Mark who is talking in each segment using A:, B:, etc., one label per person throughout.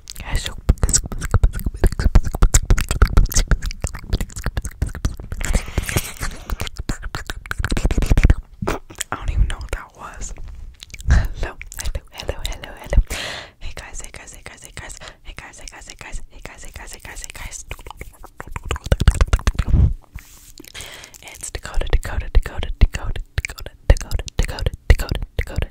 A: I don't even know what that was. Hello, hello, hello, hello, hello. Hey guys, hey guys, hey guys, hey guys, hey guys, hey guys, hey guys, hey guys, hey guys, hey guys, hey guys. It's Dakota, Dakota, Dakota, Dakota, Dakota, Dakota, Dakota, Dakota,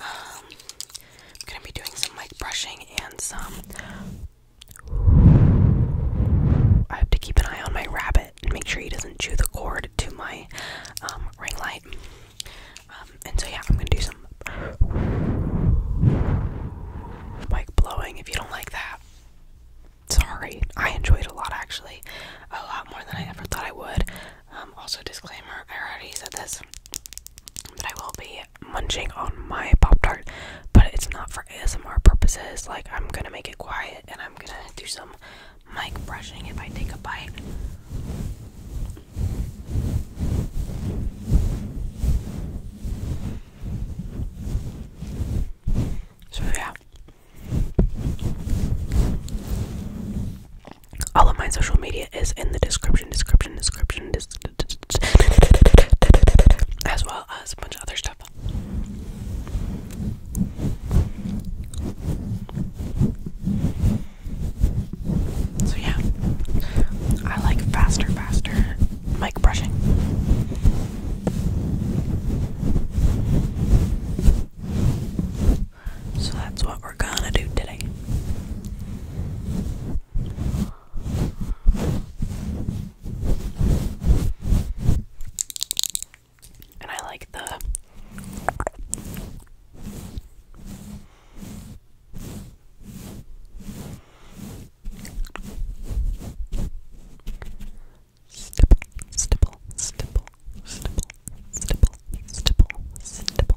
A: um, I'm gonna be doing some mic brushing and some. I have to keep an eye on my rabbit and make sure he doesn't chew the cord to my um, ring light. Um, and so, yeah, I'm gonna do some mic blowing if you don't like that. Sorry, I enjoyed a lot actually, a lot more than I ever thought I would. also, disclaimer I already said this, but I will be munching on my Pop Tart, but it's not for ASMR purposes. Like, I'm gonna make it quiet and I'm gonna do some mic brushing if I take a bite. So, yeah. All of my social media is in the description, description, description, des as well as a bunch of other stuff. So yeah, I like faster, faster mic brushing. So that's what we're gonna do today. And I like the stipple, stipple, stipple, stipple, stipple, stipple, stipple.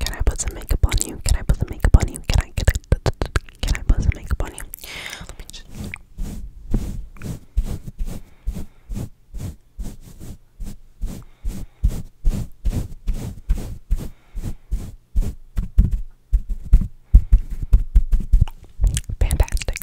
A: Can I put some makeup on you? Can I put some makeup on you? Can I? Can can I put some makeup on you? Fantastic.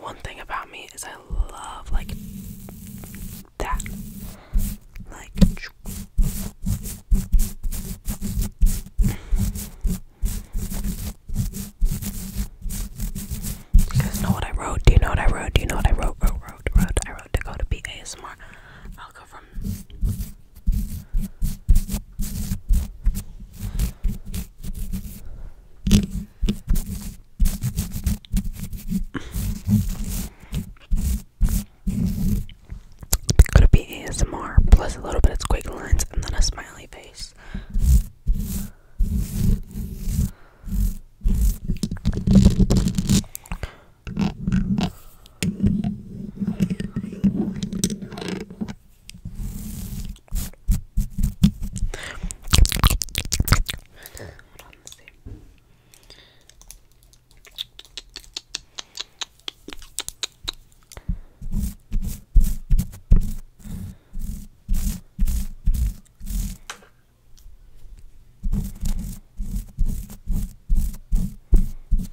A: One thing about me is I I love like that. Like you guys know what I wrote? Do you know what I wrote? Do you know what I wrote? Wrote, wrote, wrote. I wrote to go to be will go from could be ASMR plus a little bit of squiggly lines and then a smiley face?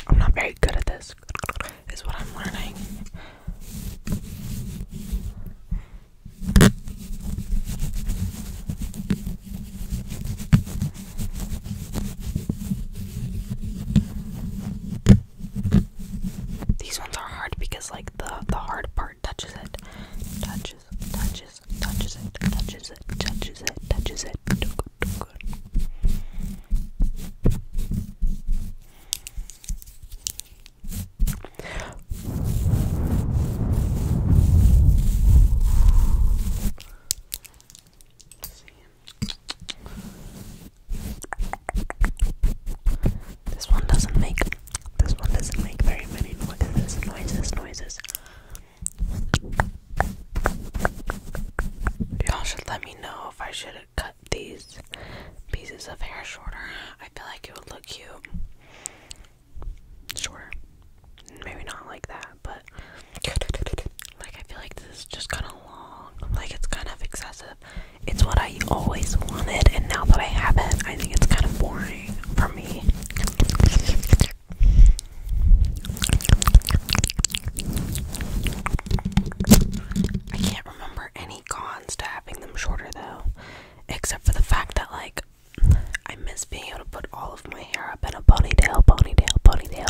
A: I'm not very good at this, is what I'm learning. These ones are hard because like the the hard part touches it. Touches, touches, touches it, touches it, touches it, touches it. This one doesn't make this one doesn't make very many noises, noises, noises. Y'all should let me know if I should cut these pieces of hair shorter. I feel like it would look cute. Sure. Maybe not like that, but like I feel like this is just kind of long. Like it's kind of excessive. It's what I always wanted, and now that I have it, I think it's kind of boring for me. I can't remember any cons to having them shorter though, except for the fact that, like, I miss being able to put all of my hair up in a ponytail, ponytail, ponytail.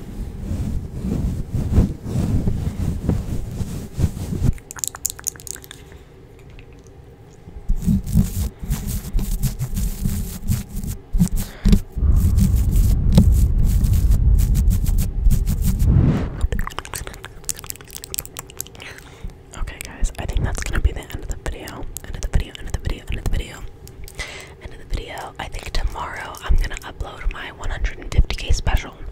A: Okay, guys, I think that's gonna be the end of the video. End of the video, end of the video, end of the video. End of the video. I think tomorrow I'm gonna upload my 150k special.